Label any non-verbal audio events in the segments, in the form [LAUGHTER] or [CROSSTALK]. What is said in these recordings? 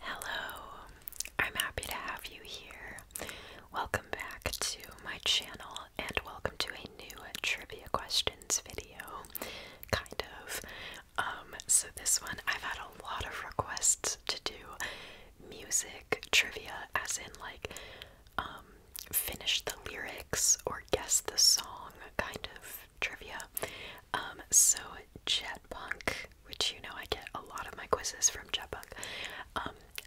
Hello, I'm happy to have you here. Welcome back to my channel and welcome to a new trivia questions video. Kind of. Um, so, this one I've had a lot of requests to do music trivia, as in, like, um, finish the lyrics or guess the song kind of trivia. Um, so, Jet Punk which you know I get a lot of my quizzes from Jetbug,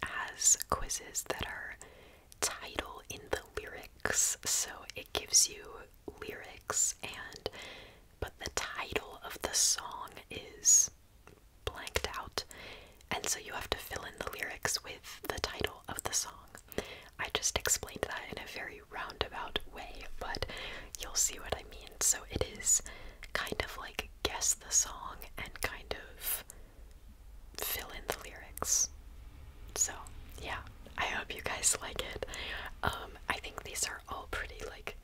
has um, quizzes that are title in the lyrics, so it gives you lyrics and but the title of the song is blanked out, and so you have to fill in the lyrics with the title of the song. I just explained that in a very roundabout way, but you'll see what I mean. So it is kind of like guess the song and kind of fill in the lyrics. So, yeah, I hope you guys [LAUGHS] like it. Um, I think these are all pretty, like,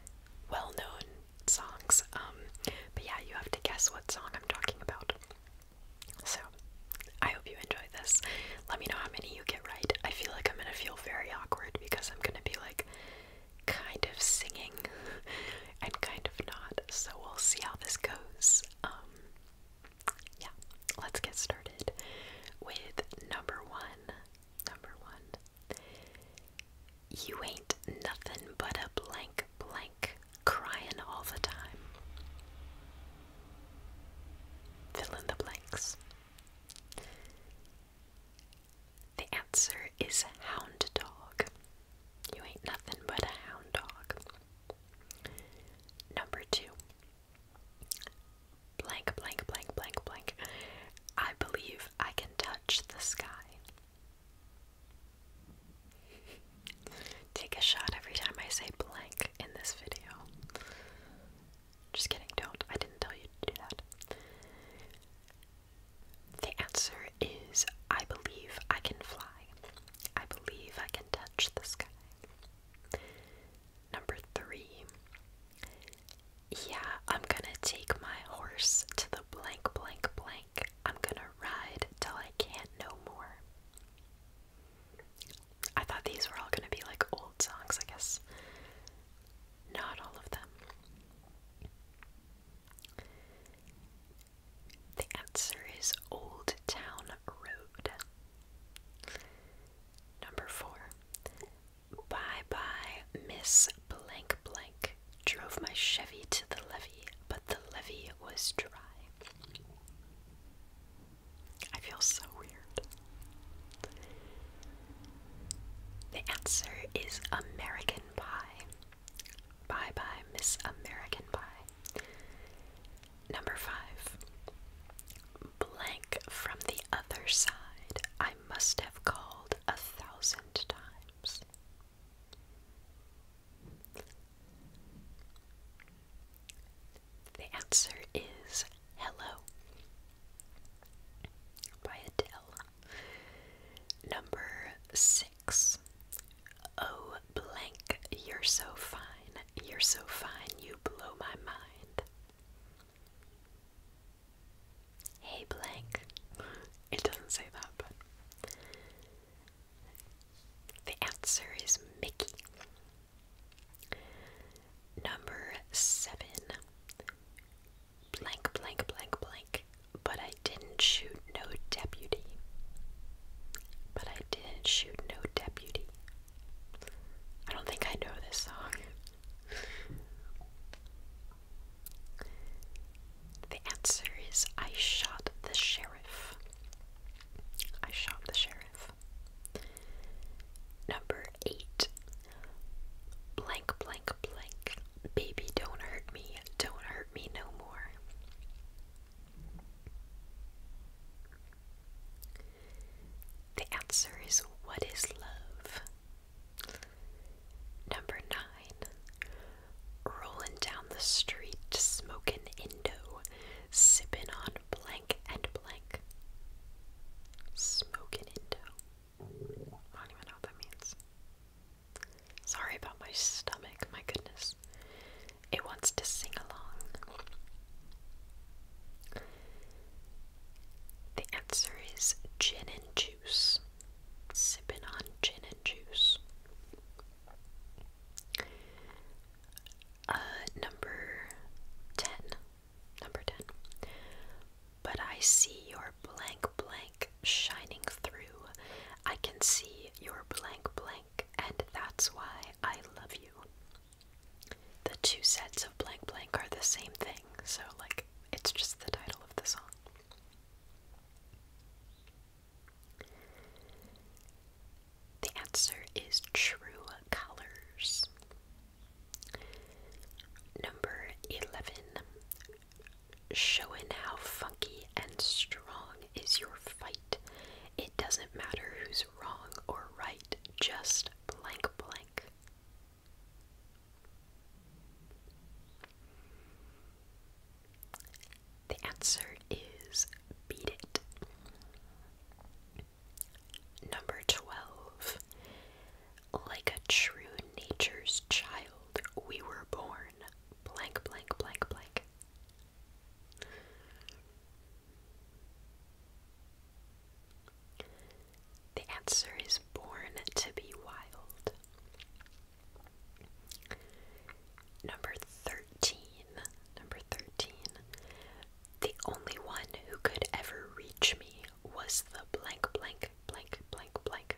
well known songs. Um, but yeah, you have to guess what song I'm talking about. So, I hope you enjoy this. Let me know how many you get right. I feel like I'm gonna feel very awkward because I'm gonna be like, kind of singing [LAUGHS] and kind of not. So we'll see how this goes. Um, yeah, let's get started with number one. Number one. You ain't nothing but a blank blank crying all the time. Fill in the blanks. The answer is hound dog. You ain't nothing but a hound dog. Number two. Blank, blank, blank, blank, blank. I believe I can touch the sky. Take a shot every time I say blank in this video. Just kidding, don't. I didn't tell you to do that. The answer is I believe I can fly. I believe I can touch the sky. Number three. Yeah, I'm gonna take my horse to the blank, blank, blank. I'm gonna ride till I can't no more. I thought these were all gonna be like old songs, I guess. Not all of them. The answer is Old Town Road. Number four. Bye bye, Miss Blank Blank. Drove my Chevy to the levee, but the levee was dry. I feel so weird. The answer is American Pie. Bye bye, Miss American Pie. Number five. Blank from the other side, I must have called a thousand times. The answer is Hello by Adele. Number six. Oh, blank, you're so fine, you're so fine, you blow my mind. Hey, blank. It doesn't say that, but. The answer is Mickey. Number seven blank, blank, blank, blank. But I didn't shoot no deputy. But I didn't shoot no deputy. I don't think I know this song. the answer is I shot the sheriff. I shot the sheriff. Number eight. Blank, blank blank Baby, don't hurt me. Don't hurt me no more. The answer is what is love? Number nine. Rolling down the street, smoking Indo, sipping on blank and blank. Smoking Indo. I don't even know what that means. Sorry about my stomach, my goodness. It wants to sing along. The answer is gin and juice. Sipping on gin and juice. Uh, number 10. Number 10. But I see your blank blank shining through. I can see your blank blank, and that's why I love you. The two sets of blank blank are the same thing, so, like, it's just the title of the song. The answer is true colors. Number 11. Showing how funky and strong is your fight. It doesn't matter who's wrong or right, just blank blank. The answer is beat it. Number 12 like a true nature's child, we were born. Blank, blank, blank, blank. The answer is born to be wild. Number 13. Number 13. The only one who could ever reach me was the blank, blank, blank, blank, blank,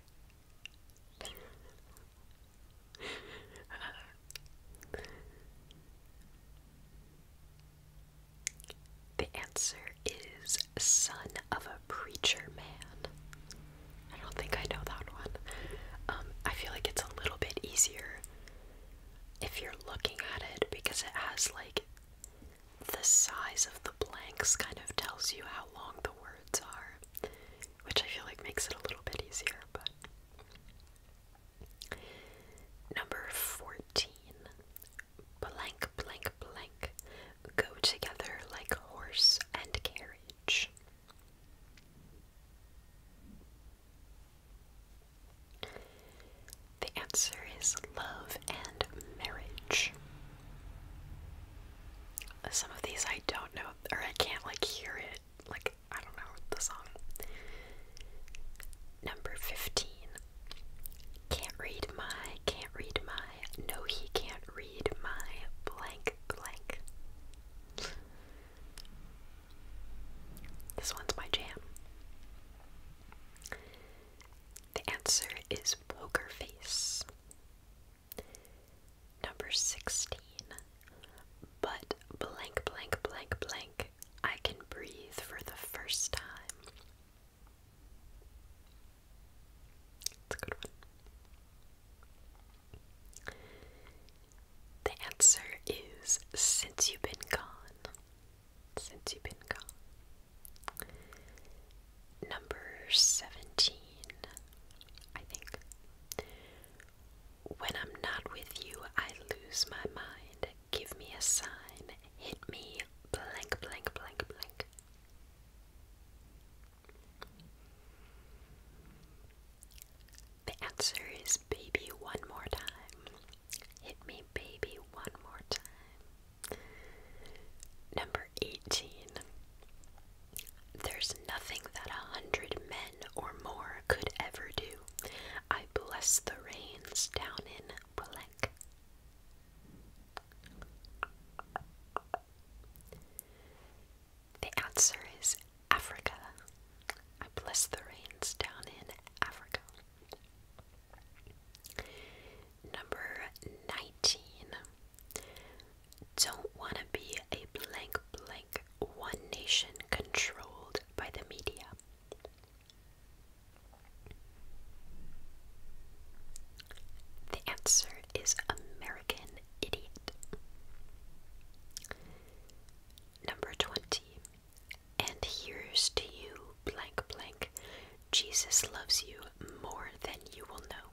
the answer is Son of a Preacher Man. I don't think I know that one. Um, I feel like it's a little bit easier if you're looking at it because it has like the size of the blanks kind of tells you how long the words are, which I feel like makes it a little bit easier, but. Number 14. Blank, blank, blank. Go together like horse and carriage. The answer is love and marriage. Some of these I don't know, or I can't like hear it. Like, I don't know the song. Number 15. Can't read my, can't read my, no, he can't read my blank blank. This one's my jam. The answer is poker face. Number 16. But blank, blank, blank, blank, I can breathe for the first time. It's a good one. The answer is since you've been gone since you've been gone. Number 17, I think. When I'm not with you, I lose my mind. Give me a sign. Hit me blank, blank, blank, blank. The answer is baby one more time. Hit me, baby, one more time. Number 18. There's nothing that a hundred men or more could ever do. I bless the rains down in Blank. The answer is Africa. I bless the rains down in Africa. Number 19. Don't want to be a blank blank one nation controlled by the media. The answer is American Idiot. Number 20. And here's to you, blank blank. Jesus loves you more than you will know.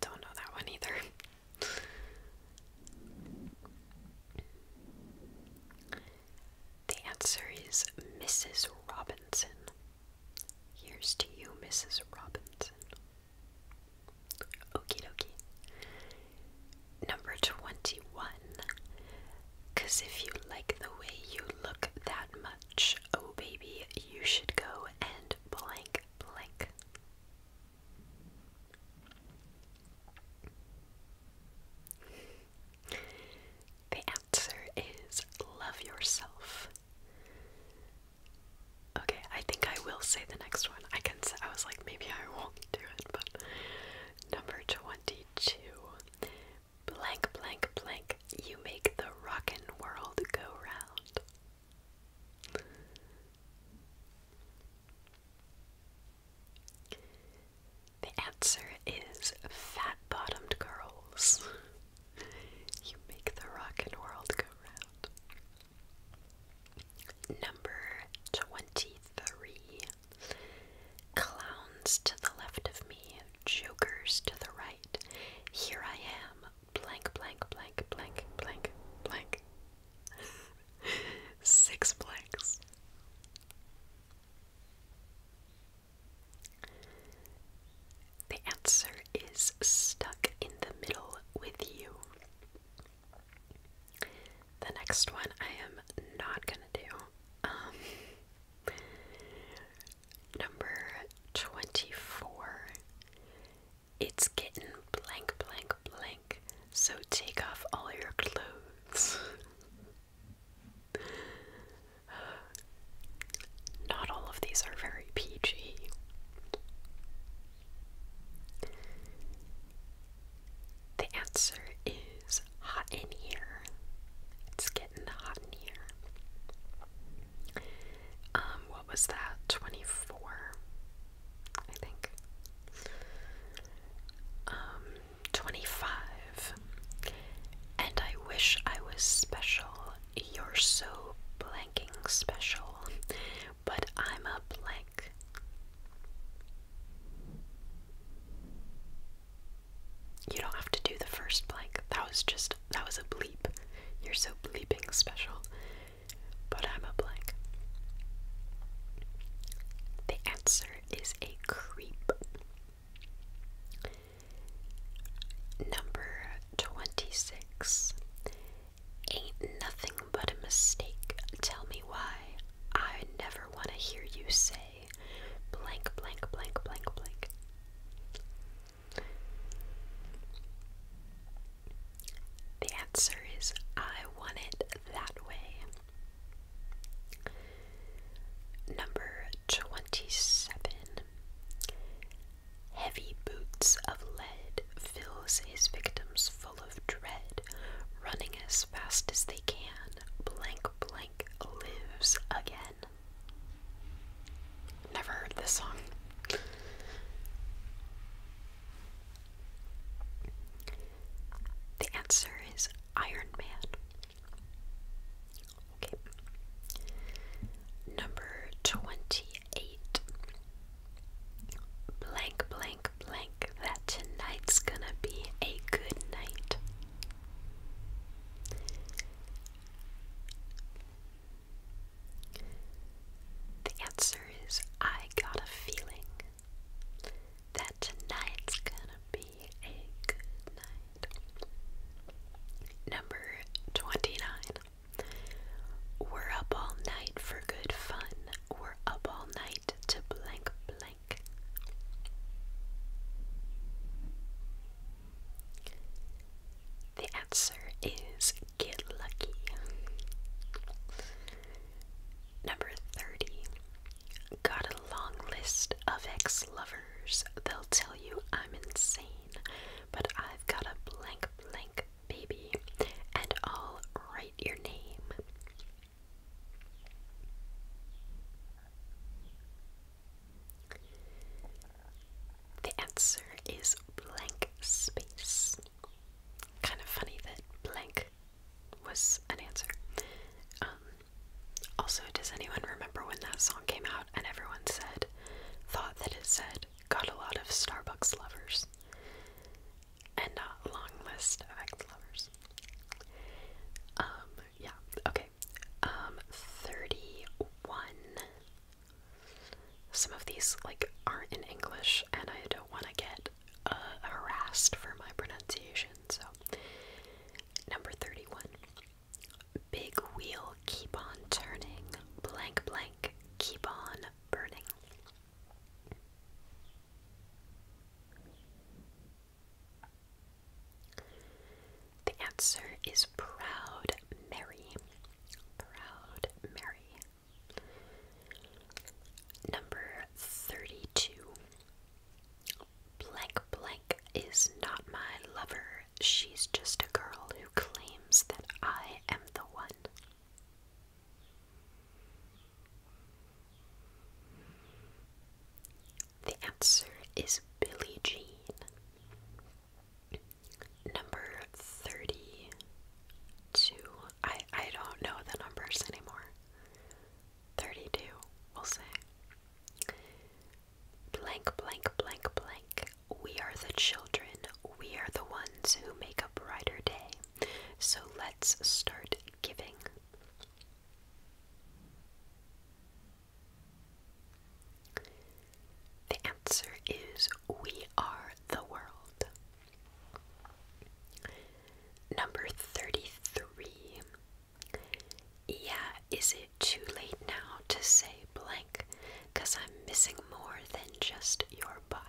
Don't know that one either. [LAUGHS] the answer is Mrs. Robinson. Here's to you, Mrs. Robinson. Okie dokie. Number 21. Because if you like the way you look that much, oh baby, you should go and blank blank. The answer is love yourself. Okay, I think I will say the next one. I can I was like maybe I won't do it, but number 22. Blank, blank, blank. You make the rockin' world go round. The answer is fat bottomed girls. you make the rockin' world go round. Number 23. Clowns to the left of me, jokers to the right. Here I am, blank, blank, blank, blank, blank, blank. [LAUGHS] Six blanks. The answer is stuck in the middle with you. The next one I am not gonna do. Um, Number 24. It's getting blank, blank, blank, so take off all your clothes. [SIGHS] Not all of these are very PG. The answer is hot in here. It's getting hot in here. Um, what was that? 24, I think. Um, 25. And I wish I was special. You're so blanking special, but I'm a blank. You don't have to do the first blank. That was just, that was a bleep. You're so bleeping special. But I'm a blank. The answer is a creep. Number 26. Ain't nothing but a mistake. Tell me why. I never want to hear you say blank, blank, blank, blank, blank. The answer is I want it that way. Number 27. Heavy boots of lead fills his victims full of dread, running as as fast as they can. Blank blank lives again. Never heard this song. The answer is Iron Man. Okay. Number 28. Blank, blank, blank, that tonight's gonna be a good night. The answer is I got a feeling that tonight's gonna be a good night. Number 29. We're up all night for good fun. We're up all night to blank the answer is get lucky. Number 30. Got a long list of ex lovers. They'll tell you I'm insane, but I've got a blank, blank baby, and I'll write your name. The answer is blank space. Kind of funny that blank was an answer. Um, also, does anyone remember when that song came out and everyone said, thought that it said, got a lot of Starbucks lovers? And not long list of ex lovers. Um, yeah, okay. Um, 31. Some of these, like, aren't in English, and I don't want to get uh, harassed for my pronunciation, so. Number 31. Big wheel keep on turning, blank blank keep on burning. The answer is Proud Mary. Proud Mary. Number 32. Blank blank is not my lover. She's just a girl who claims that I am the one. The answer is Billie Jean. Number 32. I, I don't know the numbers anymore. 32, we'll say. Blank, blank, blank, blank. We are the children. We are the ones who make a brighter day. So let's start giving. The answer is We Are the World. Number 33. Yeah, is it too late now to say blank? Because I'm missing more than just your body.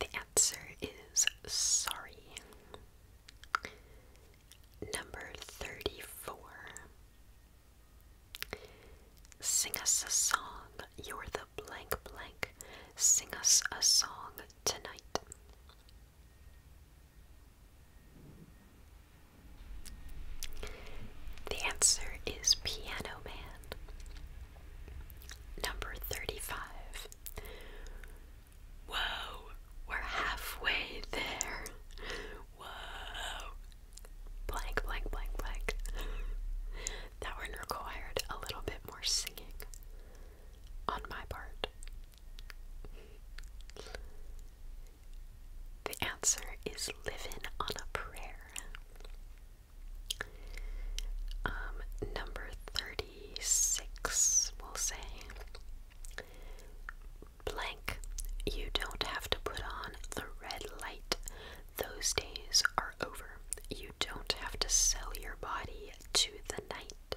The answer is sorry. Number 34. Sing us a song, you're the blank blank. Sing us a song tonight. The answer is Piano Man. Number 35. Whoa, we're halfway there. Whoa. Blank, blank, blank, blank. that one required a little bit more singing on my part. The answer is living on a prayer. Um, number 36, we'll say. Blank, you don't have to put on the red light. Those days are over. You don't have to sell your body to the night.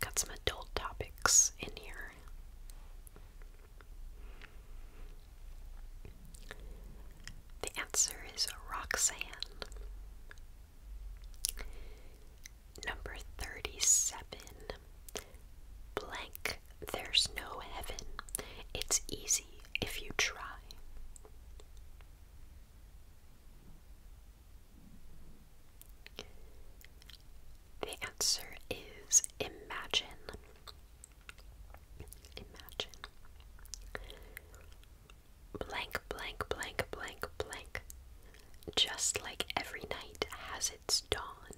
Got some adult topics in here. The answer is Roxanne. Number 37. Blank, there's no heaven. It's easy if you try. The answer is imagine. Imagine. Blank, blank, blank, blank, blank. Just like every night has its dawn,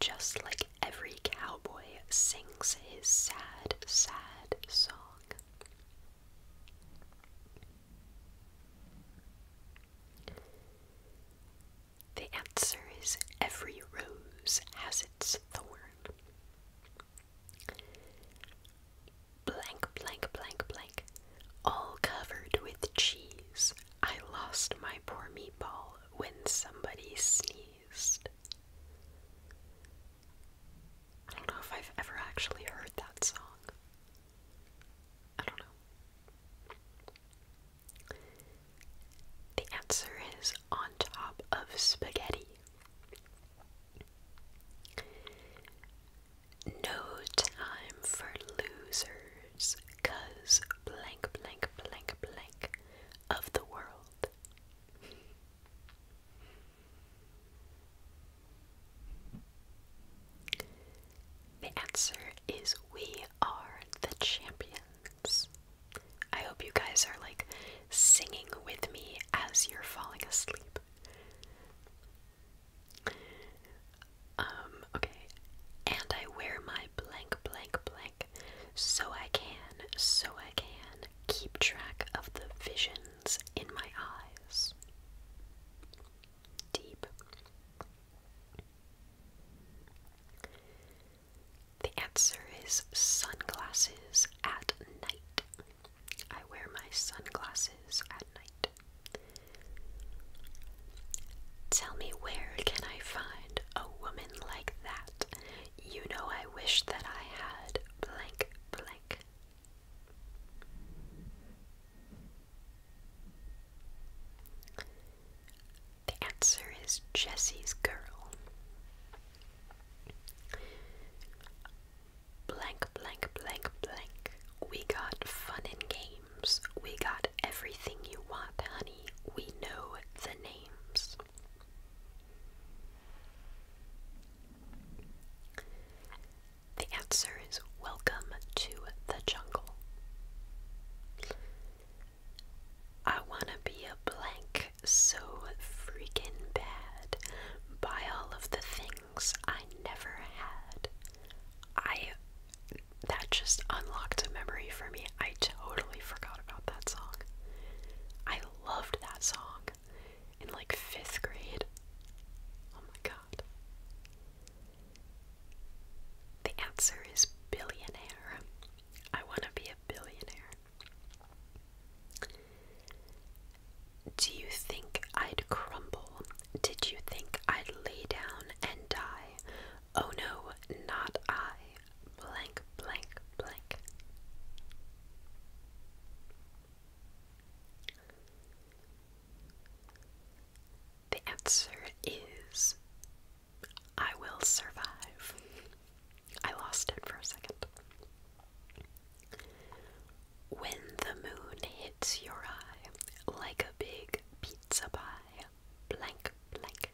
just like every cowboy sings his sad, sad song. The answer is every rose has its thorn. Blank, blank, blank, blank. All covered with cheese. I lost my poor meatball when somebody sneezed. I don't know if I've ever actually heard that song. I don't know. The answer is on top of spaghetti. No time for losers, cause blank, blank, blank, blank of the world. The answer is we are the champions. I hope you guys are like singing with me as you're falling asleep. Um, okay. And I wear my blank, blank, blank so I can, so I can keep track of the visions in my eyes. Deep. The answer is sunglasses at night. I wear my sunglasses at night. Tell me where can I find a woman like that? You know I wish that I had blank blank. The answer is Jessie's girl. Blank, blank, blank, blank. We got fun and games. We got everything you want, honey. We know the names. The answer is welcome to the jungle. I want to be a blank so freaking bad by all of the things I never had. I that just unlocked a memory for me. I totally forgot about that song. I loved that song in like fifth grade. Oh my god. The answer is billionaire. I want to be a billionaire. Do you think I'd crumble? Did you think I'd lay down and die? Oh no, not I. Blank, blank, blank. The answer is I will survive. I lost it for a second. When the moon hits your eye like a big pizza pie, blank, blank.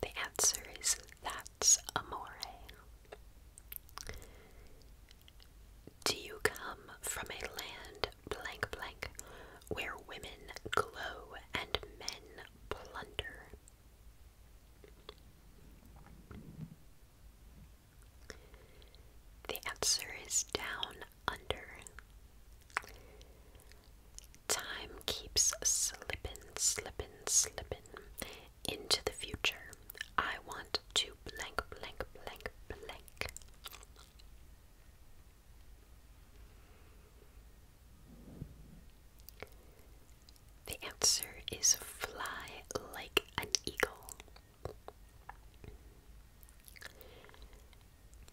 The answer is that's amore. Do you come from a land blank blank, where women glow and men plunder. The answer is down under. Time keeps slipping, slipping, slipping into the future. I want to blank, blank, blank, blank. The answer is fly like an eagle.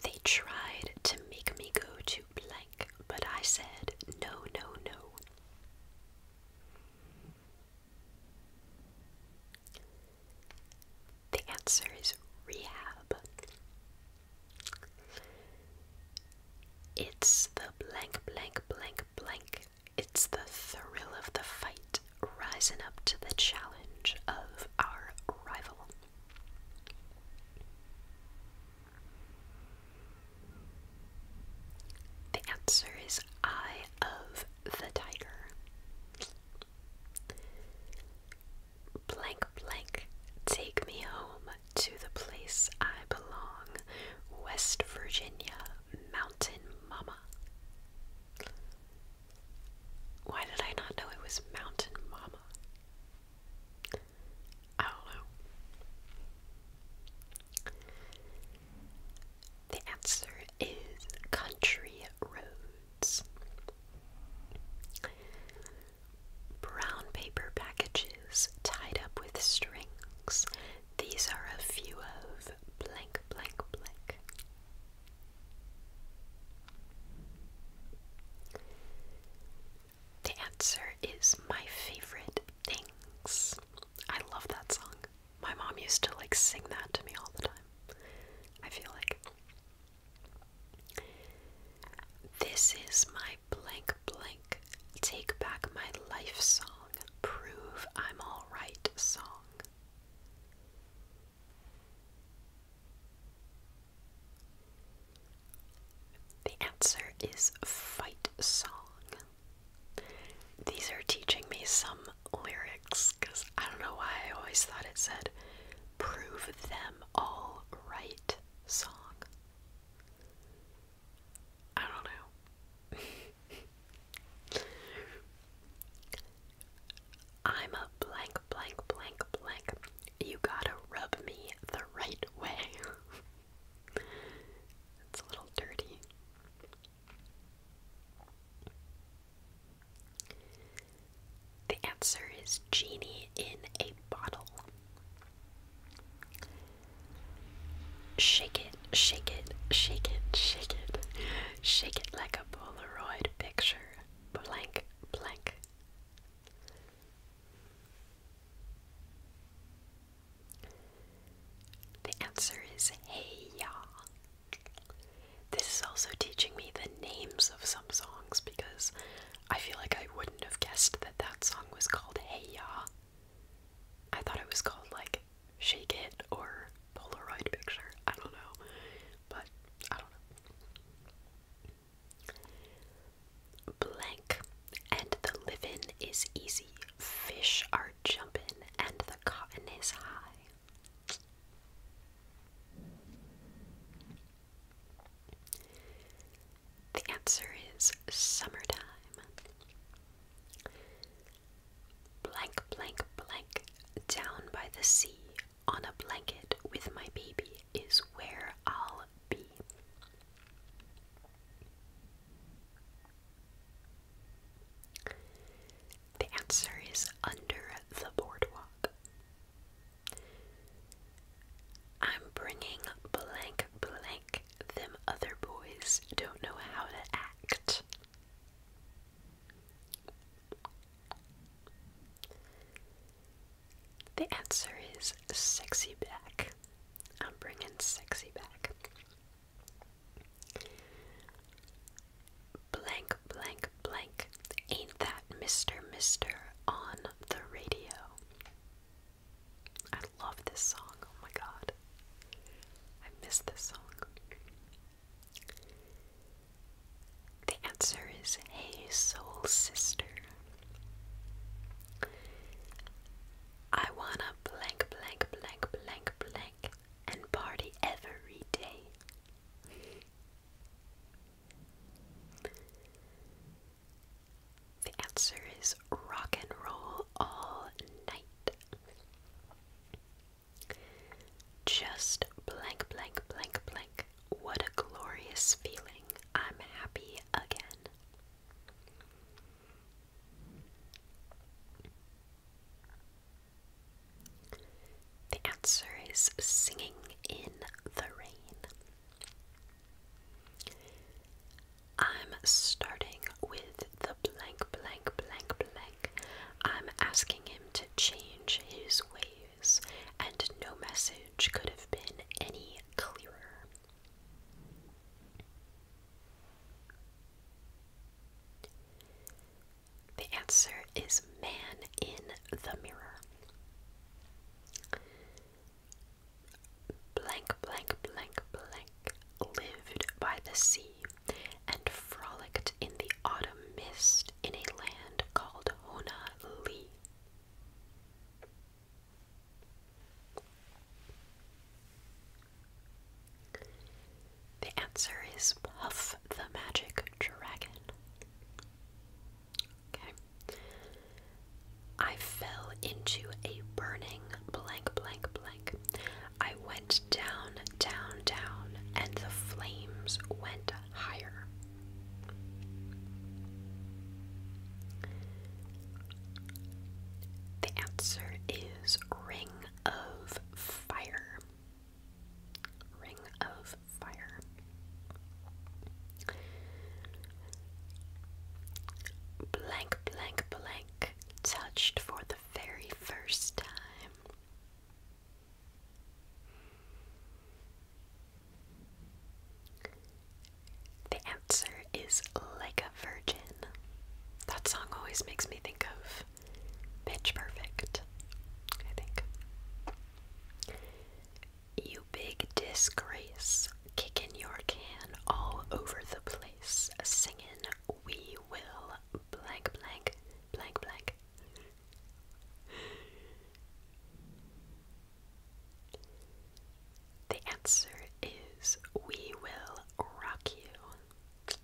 They tried to make me go to blank, but I said no, no, no. The answer is rehab. It's the blank, blank, blank, blank. It's the thrill of the fight rising up to the challenge of our rival. The answer is Eye of the Tiger blank blank take me home to the place I belong, West Virginia Mountain Mama. Why did I not know it was Mountain Mama? I don't know. The answer is Country Road. Brown paper packages tied up with strings. These are a few of blank, blank, blank. The answer is my favorite things. I love that song. My mom used to like sing that to me all the time. I feel like this is my blank blank take back my life song, prove I'm alright song. The answer is fight song. These are teaching me some lyrics because I don't know why I always thought it said prove them all right song. I don't know. [LAUGHS] I'm a blank, blank, blank, blank. You gotta rub me the right way. [LAUGHS] it's a little dirty. The answer is Genie in a Bottle. Shake it, shake it, shake it, shake it. Shake it like a Polaroid picture. Blank, blank. The answer is Hey y'all. This is also teaching me the names of some songs because I feel like I wouldn't have guessed that that song was called Hey Ya. I thought it was called like Shake It or Polaroid Picture. I don't know. But I don't know. Blank. And the livin' is easy. Fish are jumpin' and the cotton is high. The answer is summertime. Blank, blank, blank, down by the sea, on a blanket with my baby is where I'll be. The answer is under the boardwalk. I'm bringing blank blank. Them other boys don't know how to act. The answer is sexy back. I'm bringing sexy back blank blank blank. Ain't that Mr. Mister on the radio? I love this song. Oh my god. I miss this song. The answer is Hey Soul Sister. I wanna blank, blank, blank, blank, blank, and party every day. The answer is rock and roll all night. Just blank, blank, blank, blank. What a glorious feeling. I'm happy again. The answer is singing in the rain. I'm starting with the blank, blank, blank, blank. I'm asking him to change his ways, and no message could have been any clearer. The answer is Man in the Mirror. Blank, blank, blank, blank lived by the sea and frolicked in the autumn mist in a land called Honolulu. The answer is Puff the Magic Dragon. Okay. I fell into a burning blank, blank, blank. I went down, down, down, and the flames went higher. The answer is Ring of Fire. Ring of Fire. Blank, blank, blank, touched for the very first time. The answer is Like a Virgin. That song always makes me think of Pitch Perfect, I think. You big disgrace, kicking your can all over the place, singing we will blank blank blank blank. The answer is we will rock you.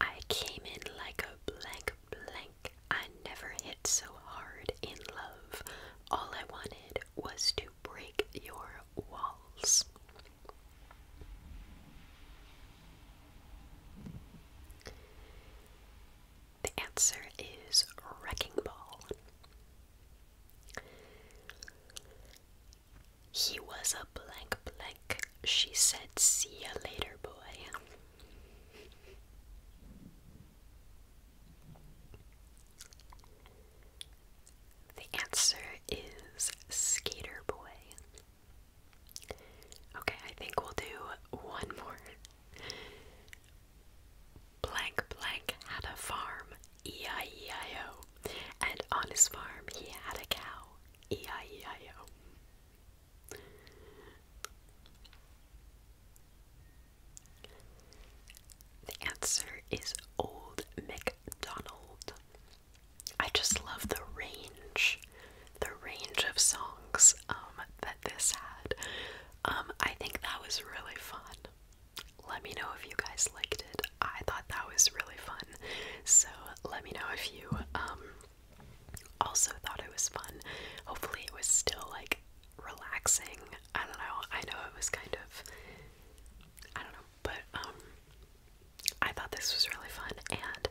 I came in like a blank blank. I never hit so hard in love. All I wanted was to break your walls. The answer is Wrecking Ball. He was a blank blank. She said, See you later, boy. The answer is Skater Boy. Okay, I think we'll do one more. Blank Blank had a farm, E I E I O, and on his farm he had a cow, E I E I O. The answer is Old McDonald. I just love the range, the range of songs um, that this had. Um, I think that was really fun. Let me know if you guys liked it. I thought that was really fun. So let me know if you um, also thought it was fun. Hopefully it was still like relaxing. I don't know. I know it was kind of I don't know, but um I thought this was really fun and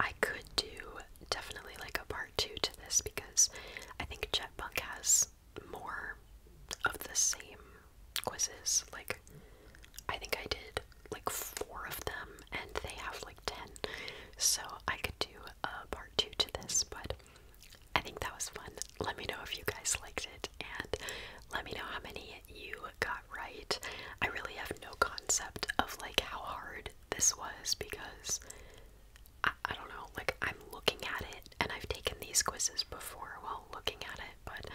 I could do definitely like a part 2 to this because I think Jetpack has more of the same quizzes like I think I did like four of them, and they have like ten. So I could do a part two to this, but I think that was fun. Let me know if you guys liked it, and let me know how many you got right. I really have no concept of like how hard this was because I, I don't know, like I'm looking at it and I've taken these quizzes before while looking at it, but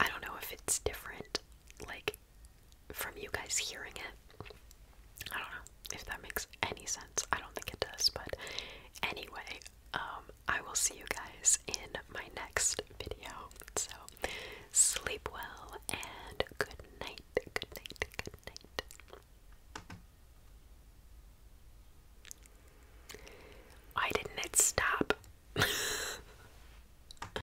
I don't know if it's different like from you guys hearing it. I don't know if that makes any sense. I don't think it does, but anyway, um, I will see you guys in my next video. So sleep well and good night. Good night. Good night. Why didn't it stop? [LAUGHS]